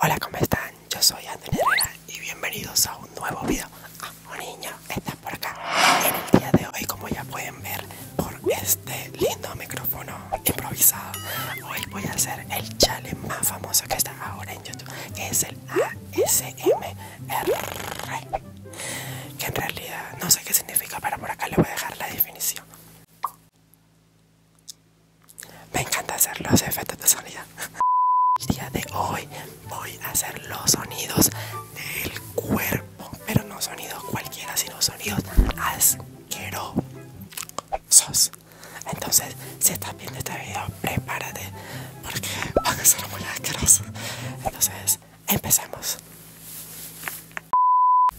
Hola, ¿cómo están? Yo soy Andrés y bienvenidos a un nuevo video. Ah, niño, estás por acá. En el día de hoy, como ya pueden ver por este lindo micrófono improvisado, hoy voy a hacer el challenge más famoso que está ahora en YouTube, que es el ASM que en realidad no sé qué significa, pero por acá le voy a dejar la definición. Me encanta hacer los efectos de sonido. El día de hoy voy a hacer los sonidos del cuerpo, pero no sonidos cualquiera, sino sonidos asquerosos. Entonces, si estás viendo este video, prepárate porque van a ser muy asquerosos. Entonces, empecemos.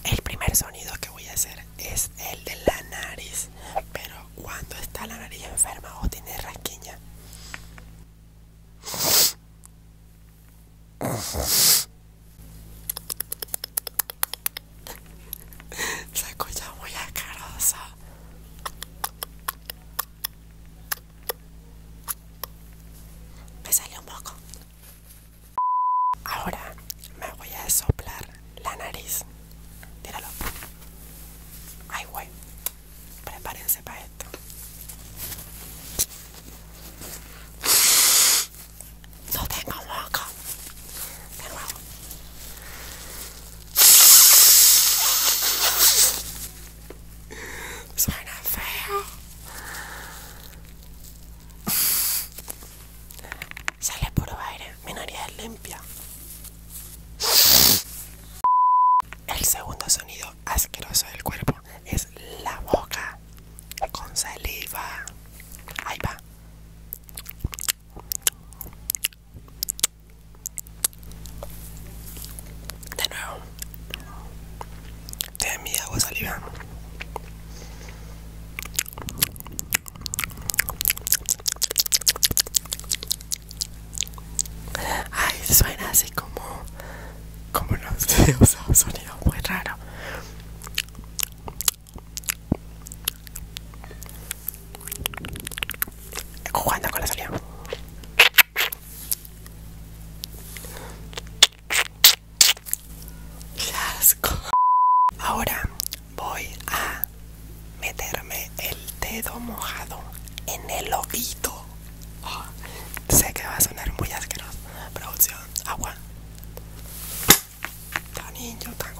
El primer sonido que voy a hacer es el de la nariz, pero cuando está la nariz enferma o tiene rasquiña. Se escucha muy asqueroso. Me salió un poco. Ahora me voy a soplar la nariz. Tíralo. Ay, güey. Prepárense para esto. No tengo moco. De nuevo. Suena feo. Sale puro aire, mi limpia. El segundo sonido asqueroso del cuerpo es la boca con saliva. Ahí va. De nuevo. De mi agua saliva. Ay, suena así como como no o sea, un sonido muy raro jugando con la salida. las Ahora voy a meterme el dedo mojado en el ojito. Ah, sé que va a sonar muy asqueroso. Producción, agua. Tan niño, tan con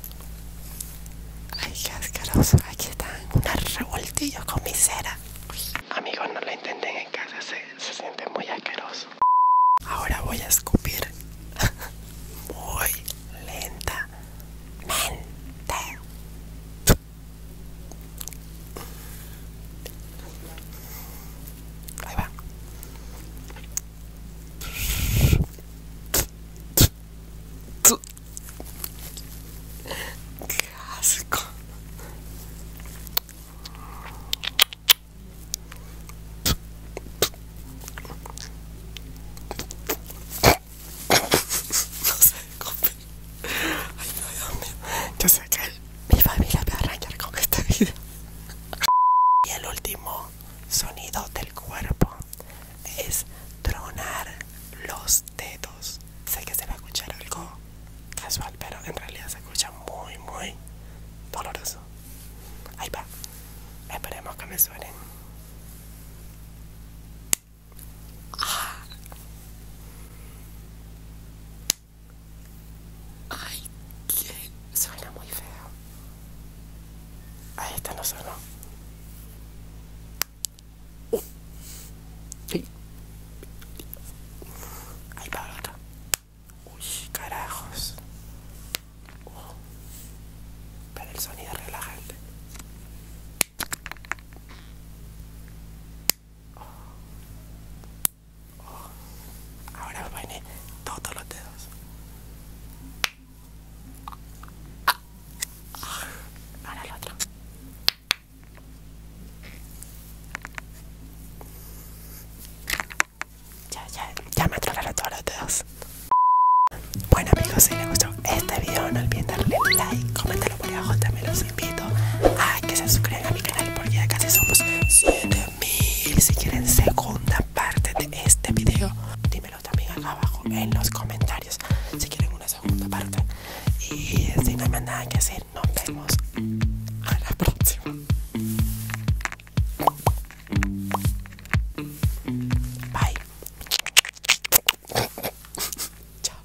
Ay, qué asqueroso. Aquí están un revoltillo con mi cera. Amigos, no lo intenten en casa, se, siente muy asqueroso. Ahora voy a escupir muy lentamente. Ahí va. Qué asco. No sé, Ay, Dios mío. Yo sé que mi familia me va a arrancar con este video. Y el último sonido del cuerpo es tronar los dedos. Sé que se va a escuchar algo casual, pero en realidad se escucha muy, muy doloroso. Ahí va. Esperemos que me suenen. Ah. Ay, que suena muy feo. Ahí está no sonó. Ahí va otra. Uy, carajos. Para el sonido relajante. Ahora a todos los dedos el otro. Ya, ya, ya me atrofaron todos los dedos. Bueno amigos, si les gustó este video no olviden darle like, comentarlo por abajo, también los invito a que se suscriban a mi canal porque ya casi somos 7000. Si quieren segunda parte de este video, Dímelo también abajo en los comentarios si quieren una segunda parte. Y si no hay más nada que decir, nos vemos a la próxima. Bye. Chao.